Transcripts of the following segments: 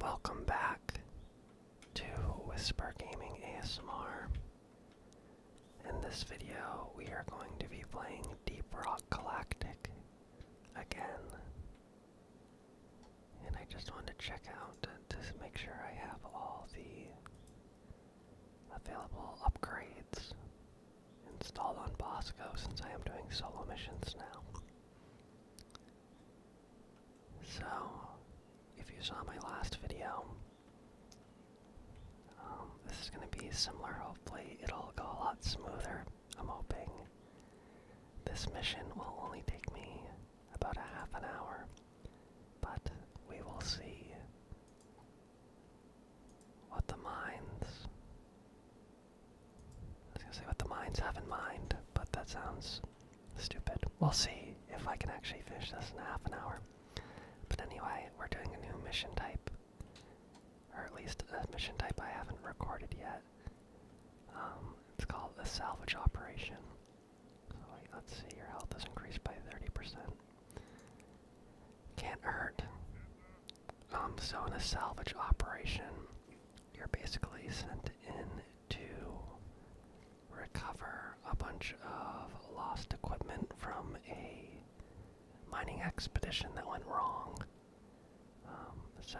Welcome back to Whisper Gaming ASMR. In this video, we are going to be playing Deep Rock Galactic again. And I just want to check out just make sure I have all the available upgrades installed on Bosco since I am doing solo missions now. So, if you saw my last video, um, this is going to be similar. Hopefully, it'll go a lot smoother. I'm hoping. This mission will only take me about a half an hour, but we will see what the mines I was gonna say what the mines have in mind, but that sounds stupid. We'll see if I can actually finish this in half an hour. But anyway, we're doing a new mission type. Or at least a mission type I haven't recorded yet. Um, it's called a salvage operation. So let's see, your health is increased by 30%. Can't hurt. Um, so in a salvage operation, you're basically sent in to recover a bunch of lost equipment from a mining expedition that went wrong. Um, so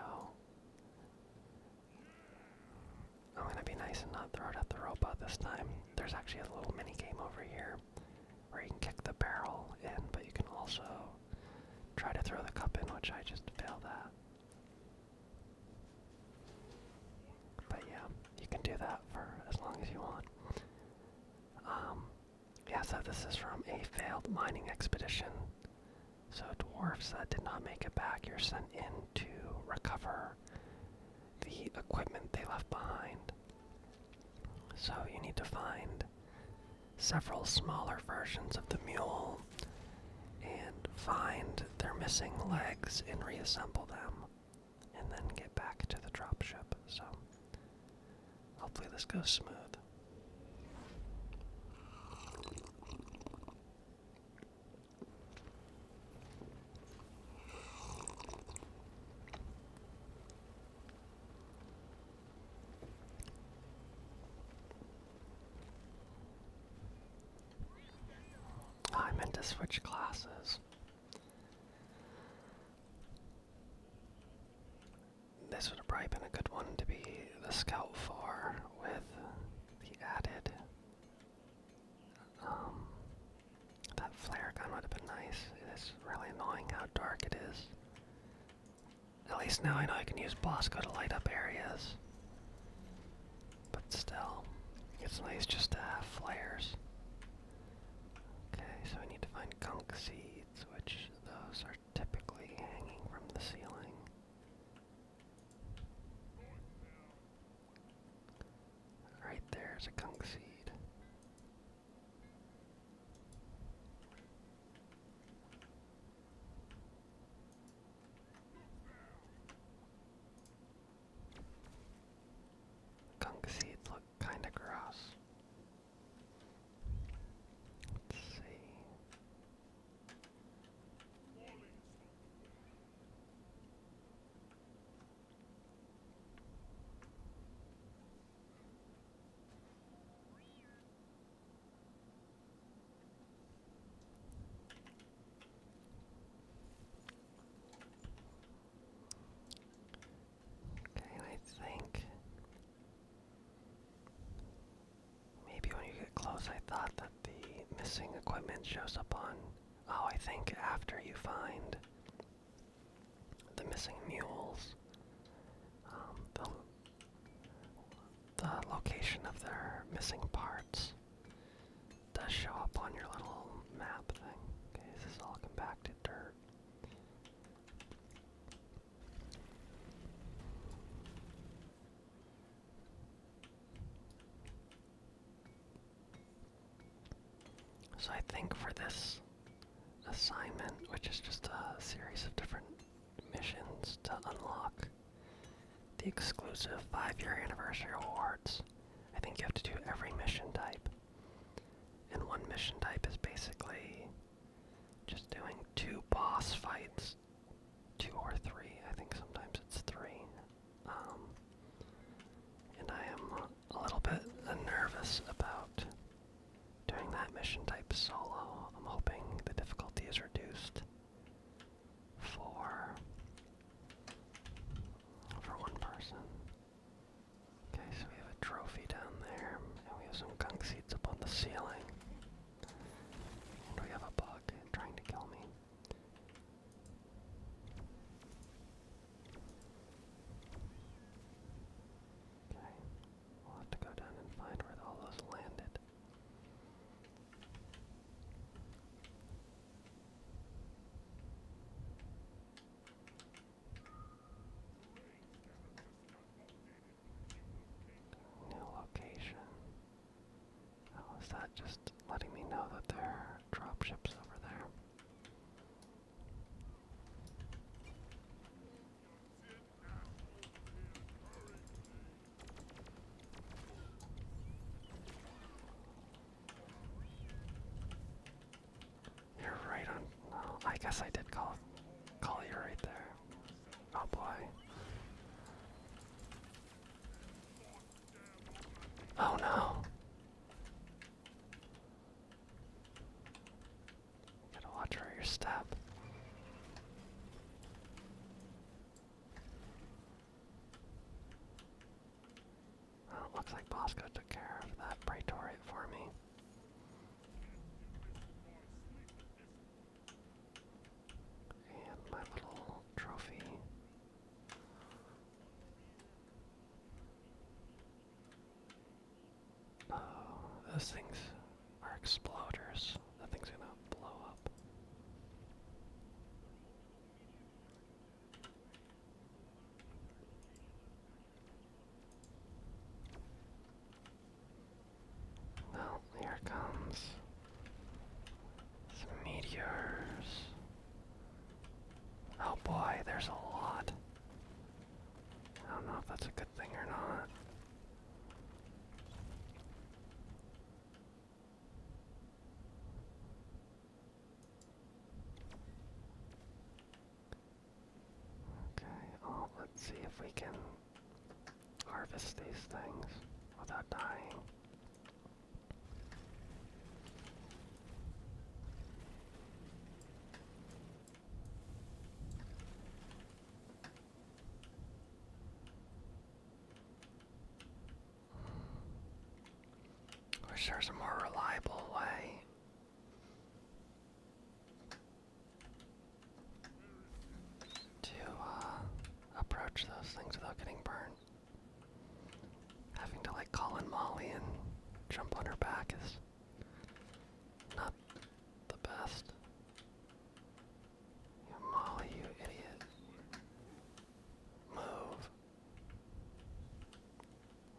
I'm gonna be nice and not throw it at the robot this time. There's actually a little mini game over here where you can kick the barrel in, but you can also try to throw the cup in, which I just failed at. But yeah, you can do that for as long as you want. Um, yeah, so this is from a failed mining expedition. So dwarfs that did not make it back, you're sent in to recover the equipment they left behind. So you need to find several smaller versions of the mule and find their missing legs and reassemble them and then get back to the dropship. So hopefully this goes smooth. Oh, I meant to switch classes. This would have probably been a good one to be the scout for with the added. Um, that flare gun would have been nice. It is really annoying how dark it is. At least now I know I can use Bosco to light up areas. But still, it's nice just to have flares. Okay, so we need to find gunk seeds, which those are typically hanging from the ceiling. Right there's a gunk seed. Gunk seeds look kinda gross. Let's see. Okay, I think maybe when you get close, I thought that the missing equipment shows up on. Oh, I think after you find the missing mules, um, the location of their missing parts does show up on your little map thing. Okay, this is all compacted dirt. So I think for this assignment, which is just a series of different missions to unlock the exclusive five-year anniversary awards. I think you have to do every mission type. And one mission type is basically just doing two boss fights, two or three. I think sometimes it's three. Um, and I am a little bit nervous about doing that mission type solo. I'm hoping the difficulty is reduced Four for one person. Okay, so we have a trophy down there, and we have some gunk seeds up on the ceiling. And we have a bug trying to kill me. Okay, we'll have to go down and find where all those landed. New location. Oh, is that just letting me know that there are drop ships over there? You're right on. Well, oh, I guess I did call call you right there. Oh boy. Oh no. gotta watch where your step. Well, oh, it looks like Bosco took care of that Praetorian for me. And my little trophy. Oh, those things are exploders. Nothing's gonna blow up. Well, here comes some meteors. Oh boy, there's a lot. I don't know if that's a good thing or not. Okay, oh, let's see if we can harvest these things without dying. I Wish there was a more reliable way. To uh, approach those things without getting burned. Having to like call in Molly and jump on her back is not the best. Molly, you idiot. Move.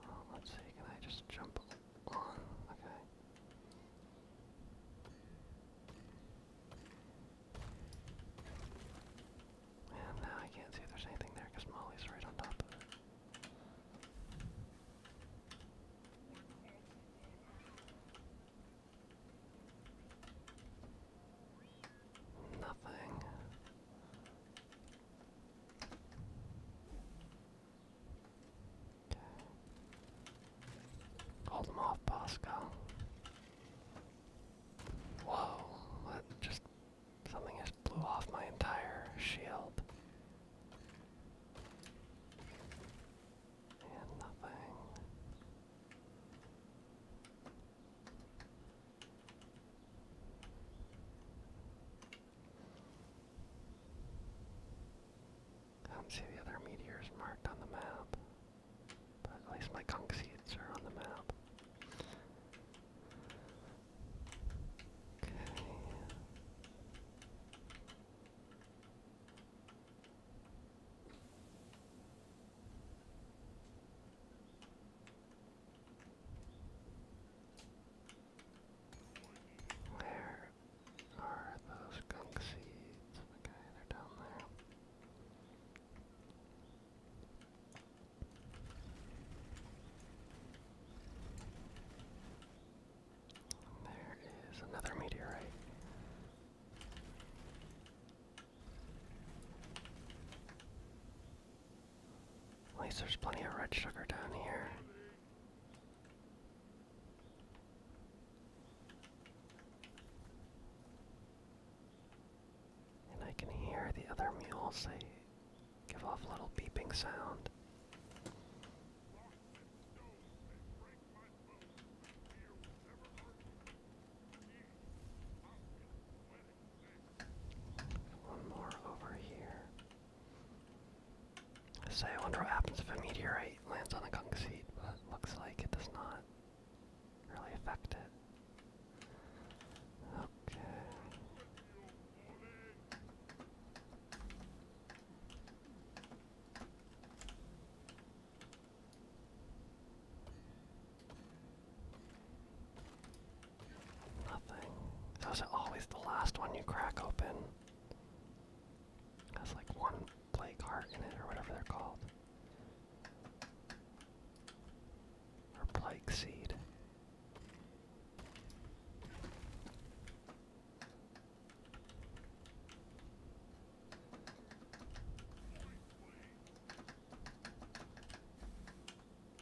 Oh, let's see, can I just jump Okay. And now I can't see if there's anything there because Molly's right on top of it. Nothing. Hold them off, Pascal. Whoa, that just something just blew off my entire shield. I don't see the other meteors marked on the map, but at least my gunk seeds are on the map. Okay. Where are those gunk seeds? Okay, they're down there. There is another meteorite. At least there's plenty of red sugar down here. And I can hear the other mules, they give off little beeping sound. One more over here. Say, I wonder what happens if a meteorite lands on a gunk seat, but it looks like it does not really affect it. Okay. Nothing. Those are always the last one you crack open. Has like one play card in it or whatever they're called. Or plague seed.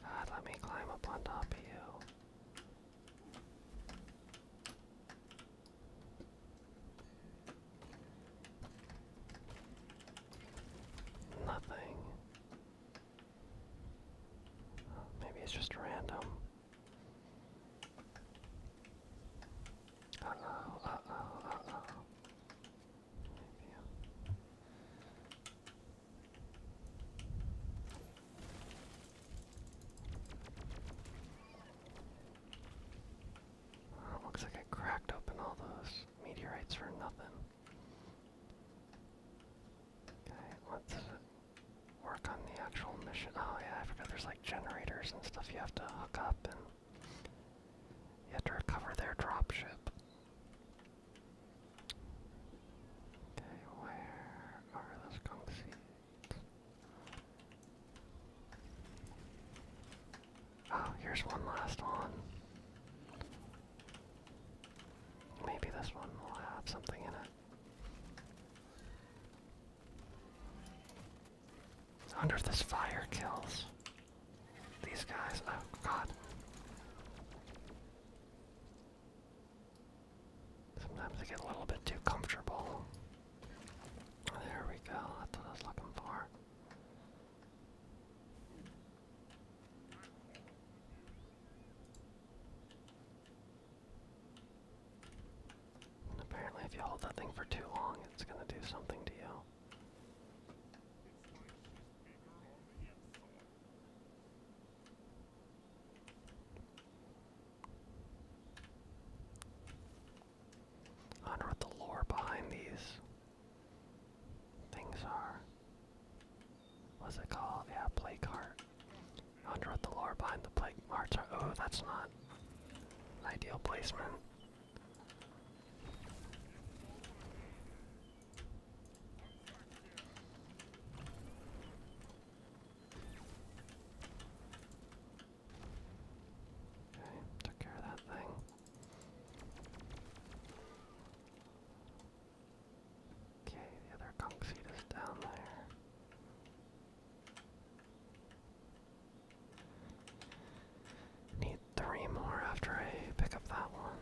God, let me climb up on top of you. Nothing. Maybe it's just random. Uh oh, uh oh, uh oh. looks like I cracked open all those meteorites for nothing. Okay, let's work on the actual mission. Oh yeah, I forgot there's like generators and stuff you have to hook up and you have to recover their dropship. Okay, where are those gunk seeds? Oh, here's one last one. Maybe this one will have something in it under this fire kills these guys. Oh god. Sometimes they get a little bit too comfortable. There we go, that's what I was looking for. Apparently if you hold that thing for too long, it's gonna do something to you. I what the lore behind these things are. What's it called? Yeah, play card. I what the lore behind the play cards are. Oh, that's not ideal placement. Okay, took care of that thing. Okay, the other conch seed is down there. Need three more after I pick up that one.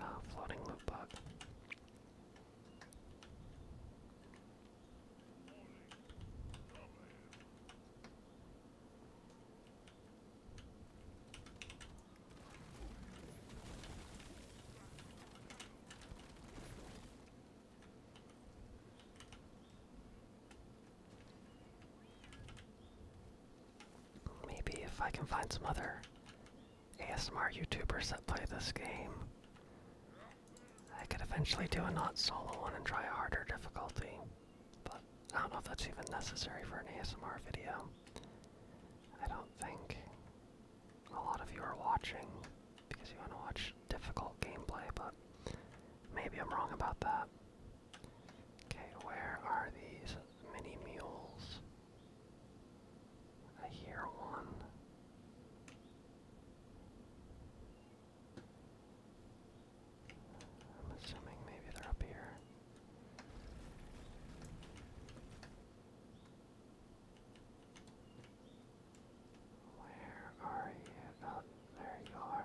Ah, floating loot bug. Maybe if I can find some other ASMR YouTubers that play this game, I could eventually do a not solo one and try a harder difficulty. But I don't know if that's even necessary for an ASMR video. I don't think a lot of you are watching because you want to watch difficult gameplay, but maybe I'm wrong about that. Okay, where are these mini mules? I hear one. I'm assuming maybe they're up here. Where are you? Oh, there you are.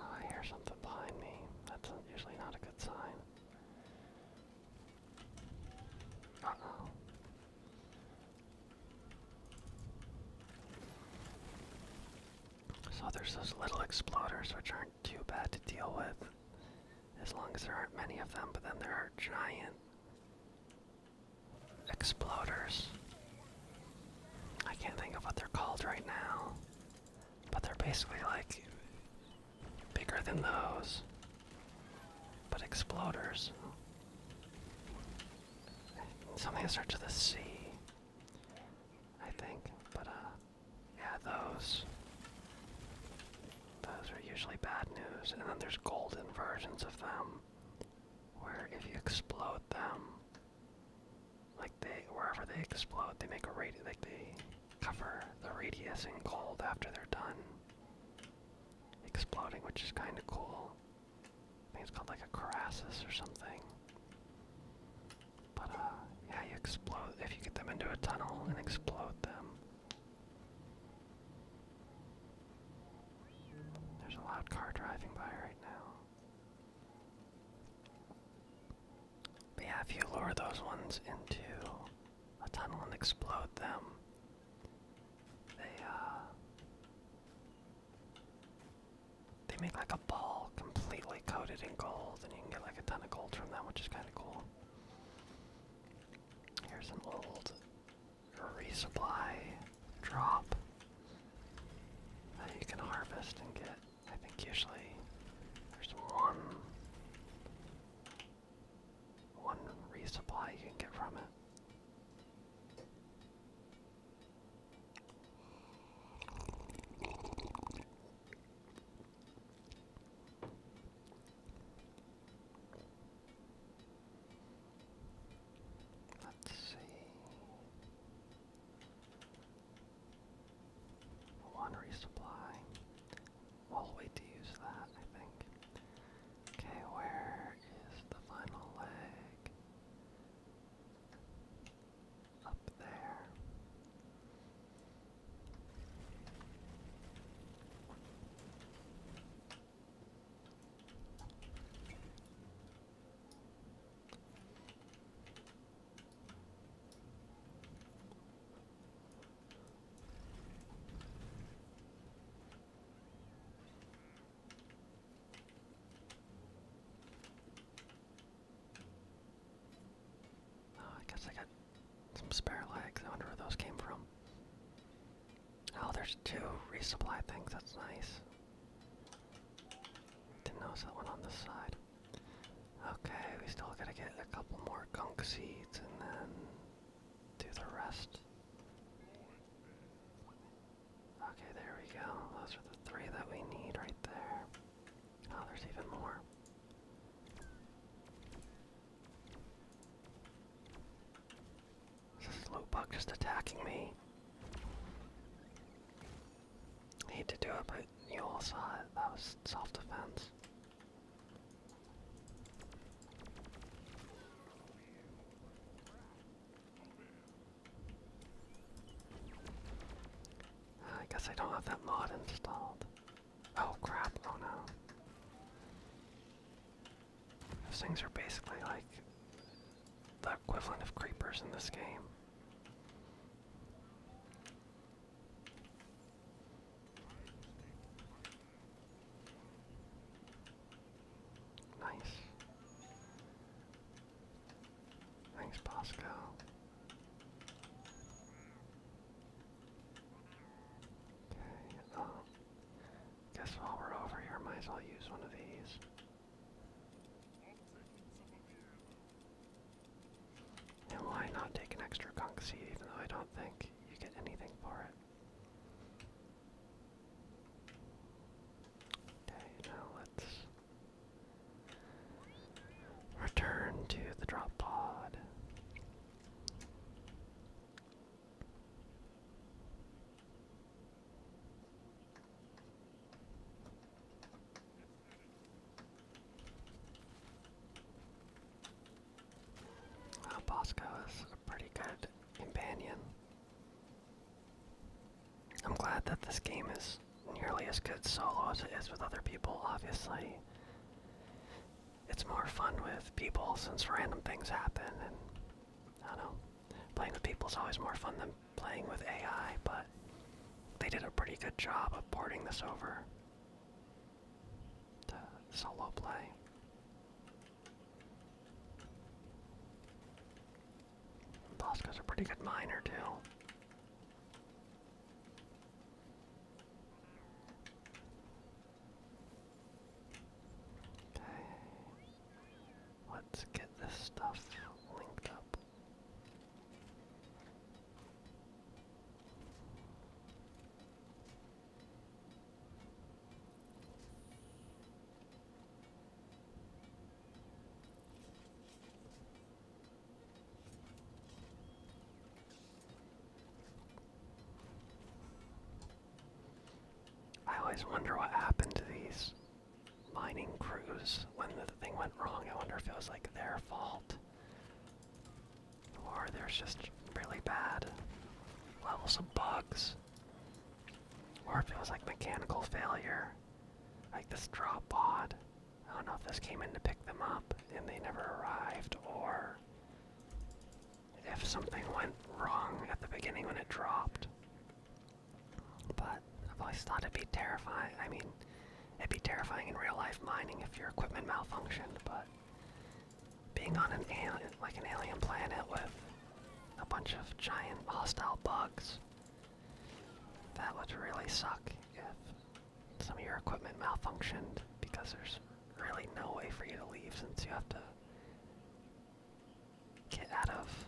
I hear something behind me. That's usually not a good sign. So there's those little exploders which are too bad to deal with. As long as there aren't many of them, but then there are giant exploders. I can't think of what they're called right now. But they're basically like bigger than those. But exploders. Something that starts with a C. I think. But uh yeah, those. Those are usually bad news. And then there's golden versions of them, where if you explode them, like they wherever they explode, they make a radius. Like they cover the radius in gold after they're done exploding, which is kind of cool. I think it's called like a Crassus or something. But uh, yeah, you explode if you get them into a tunnel and explode them. There's a loud car driving by right now. But if you lure those ones into a tunnel and explode them, they uh they make like a ball completely coated in gold and you can get like a ton of gold from them, which is kind of cool. Here's an old resupply drop that you can harvest and get. I think usually there's one one resupply you can get from it. Let's see. One resupply. We'll wait to use that, I think. Okay, where is the final leg? up there. Oh, I guess I got some spare legs. I wonder where those came from. Oh, there's two resupply things. That's nice. Didn't notice that one on the side. Okay, we still gotta get a couple more gunk seeds and then do the rest. Okay, there we go. Those are the three that we need right there. Oh, there's even more. Is this loot bug just attacking me? I hate to do it, but you all saw it. That was self-defense. I guess I don't have that mod installed. Oh crap, oh no. Those things are basically like the equivalent of creepers in this game. Nice. Thanks, Pascal. Okay, uh, guess while we're over here, might as well use one of these. And why not take an extra conch seed, even though I don't think you get anything for it? Okay, now let's Return to the drop pod. Bosco is a pretty good companion. I'm glad that this game is nearly as good solo as it is with other people, obviously. It's more fun with people since random things happen, and I don't know. Playing with people is always more fun than playing with AI, but they did a pretty good job of porting this over to solo play. Bosco's a pretty good miner, too. Okay. Let's get this stuff linked up. I always wonder what happened to these mining crews when the thing went wrong. I wonder if it was like their fault. Or there's just really bad levels of bugs. Or if it was like mechanical failure. Like this drop pod. I don't know if this came in to pick them up and they never arrived, or if something went wrong at the beginning when it dropped. But I've always thought it'd be terrifying. I mean, it'd be terrifying in real life mining if your equipment malfunctioned, but being on an alien, like an alien planet with a bunch of giant hostile bugs, that would really suck if some of your equipment malfunctioned because there's really no way for you to leave since you have to get out of,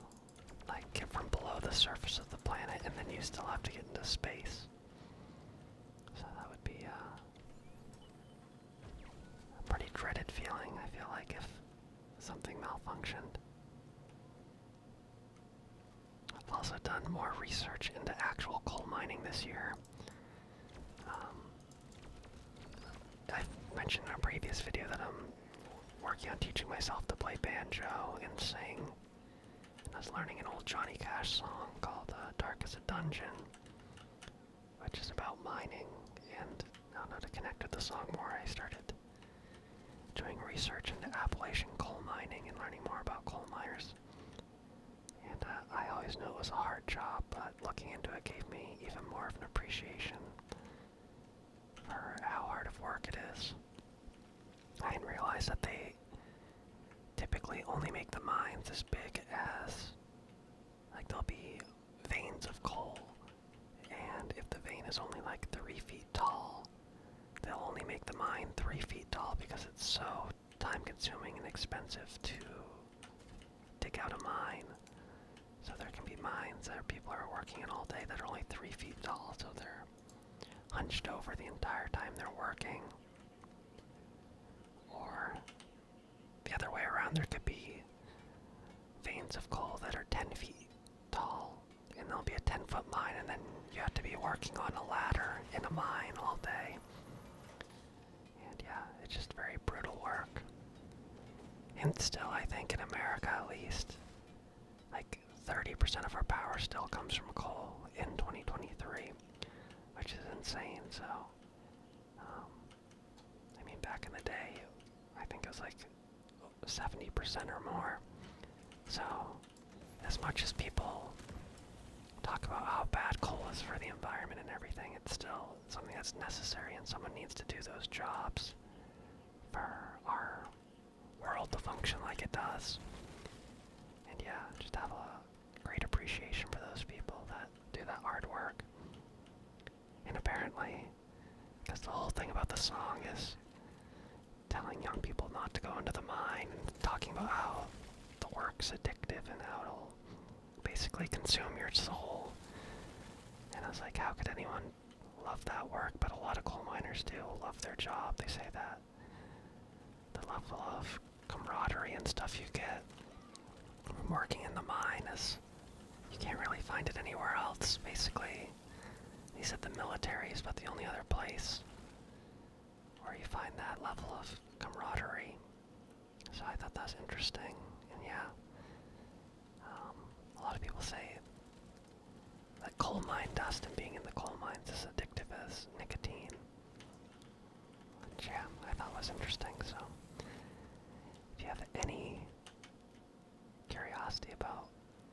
like, get from below the surface of the planet and then you still have to get into space. So that would be uh, a pretty dreaded feeling, I feel like, if something malfunctioned. I've also done more research into actual coal mining this year. Um, i mentioned in a previous video that I'm working on teaching myself to play banjo and sing. And I was learning an old Johnny Cash song called uh, Dark as a Dungeon, which is about mining. And now that I connected the song more, I started doing research into Appalachian coal mining and learning more about coal miners. And uh, I always knew it was a hard job, but looking into it gave me even more of an appreciation for how hard of work it is. I didn't realize that they typically only make the mines as big as, like, there'll be veins of coal. And if the vein is only like three feet tall, they'll only make the mine three feet tall because it's so time consuming and expensive to dig out a mine. So there can be mines that people are working in all day that are only three feet tall, so they're hunched over the entire time they're working. Or the other way around, there could be veins of coal that are 10 feet tall, and there'll be a 10 foot mine, and then you have to be working on a ladder in a mine all day. And yeah, it's just very brutal work. And still, I think in America at least, like 30% of our power still comes from coal in 2023, which is insane. So, um, I mean, back in the day, I think it was like 70% or more. So, as much as people talk about how bad coal is for the environment and everything, it's still something that's necessary and someone needs to do those jobs for our world to function like it does. And yeah, just have a great appreciation for those people that do that hard work. And apparently, because the whole thing about the song is telling young people not to go into the mine and talking about how the work's addictive and how it'll basically consume your soul. And I was like, how could anyone love that work? But a lot of coal miners do love their job. They say that the level of camaraderie and stuff you get from working in the mine is you can't really find it anywhere else, basically. He said the military is about the only other place where you find that level of camaraderie. So I thought that was interesting, and yeah, um, a lot of people say that coal mine dust and being in the coal mines is addictive as nicotine, yeah, I thought was interesting. So if you have any curiosity about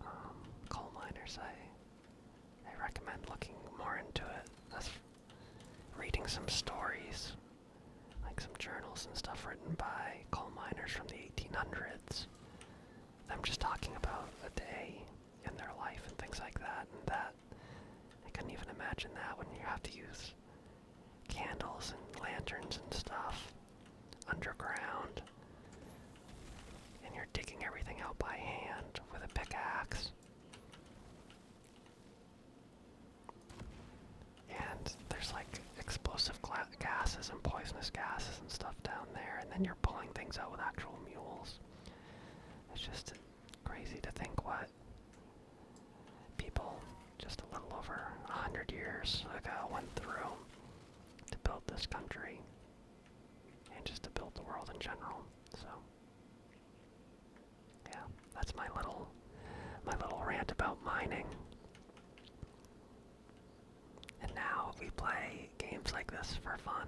um, coal miners, I I recommend looking more into it. That's reading some stories, like some journals and stuff written by coal miners from the 1800s. I'm just talking about a day in their life and things like that, and that I couldn't even imagine that when you have to use candles and lanterns and stuff underground, and you're digging everything out by hand with a pickaxe. And there's like explosive gases and poisonous gases and stuff down there, and then you're pulling things out with actual mules. It's just crazy to think what people just a little over a hundred years ago went through to build this country and just to build the world in general. So yeah, that's my little my little rant about mining. And now we play games like this for fun.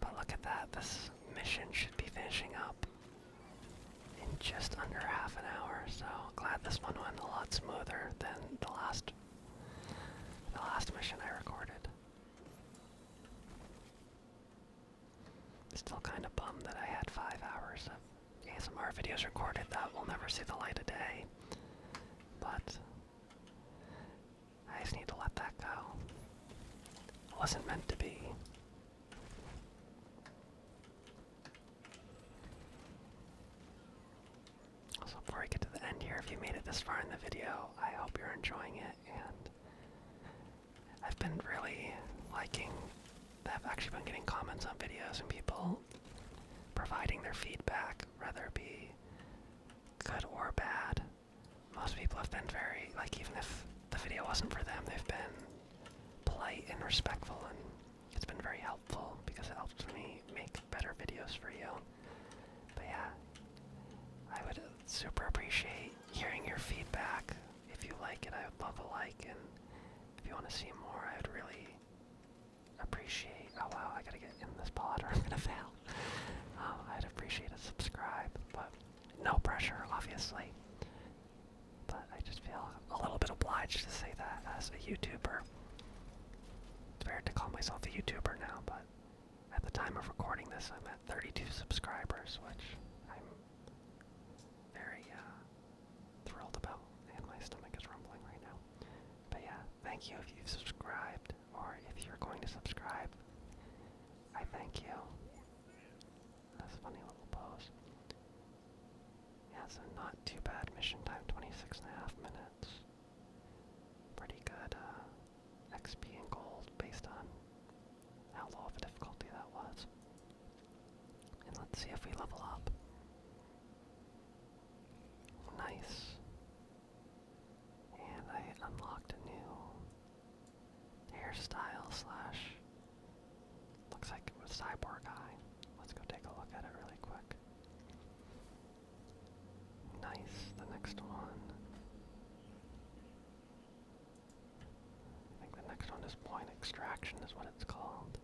But look at that, this mission should be finishing up in just under half an hour, so glad this one went a lot smoother than the last the last mission I recorded. Still kind of bummed that I had five hours of ASMR videos recorded that will never see the light of day, but I just need to let that go. It wasn't meant to be. So before we get to the end here, if you made it this far in the video, I hope you're enjoying it and I've been really liking I've actually been getting comments on videos and people providing their feedback, whether it be good or bad. Most people have been very like even if the video wasn't for them, they've been polite and respectful and it's been very helpful because it helps me make better videos for you. But yeah, I would super appreciate hearing your feedback. If you like it, I would love a like, and if you want to see more, I would really appreciate. Oh wow, I gotta get in this pod or I'm gonna fail. Um, I'd appreciate a subscribe, but no pressure, obviously. But I just feel a little bit obliged to say that as a YouTuber it's weird to call myself a YouTuber now, but at the time of recording this, I'm at 32 subscribers, which I'm very uh, thrilled about, and my stomach is rumbling right now. But yeah, thank you if you've subscribed, or if you're going to subscribe, I thank you. That's funny little pose. Yeah, so not too bad. Mission time 26 and a half minutes pretty good uh, XP and gold based on how low of a difficulty that was. And let's see if we level up. Nice. And I unlocked a new hairstyle slash looks like it was cyborg eye. Let's go take a look at it really quick. Nice, the next one. I think the next one is point extraction, is what it's called.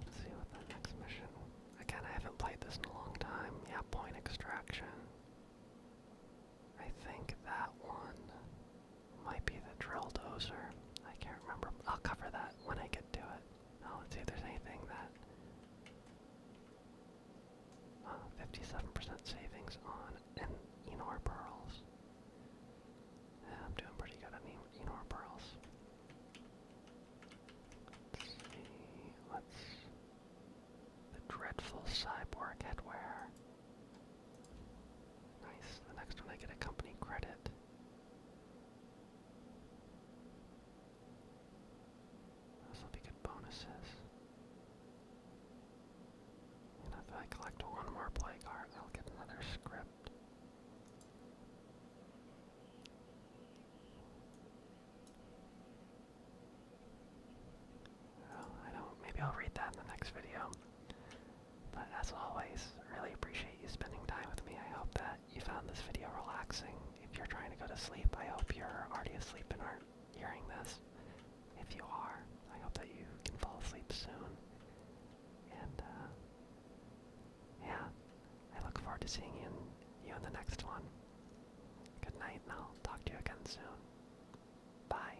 Let's see what the next mission. Again, I haven't played this in a long time. Yeah, point extraction. I think that one might be the drill dozer. I can't remember. I'll cover that when I get to it. Now oh, let's see if there's anything that. 57% uh, savings on and Enor pearls. I'm doing pretty good on Enor pearls. Let's see. Let's. The dreadful cyborg headwear. Nice. The next one I get a company credit. This will be good bonuses. And if I collect one more play card, I'll get another script. I don't. Maybe I'll read that in the next video. But as always, really appreciate you spending time with me. I hope that you found this video relaxing. If you're trying to go to sleep, I hope you're already asleep and aren't hearing this. If you are, I hope that you can fall asleep soon. And uh, yeah, I look forward to seeing you in, you in the next one. Good night, and I'll talk to you again soon. Bye.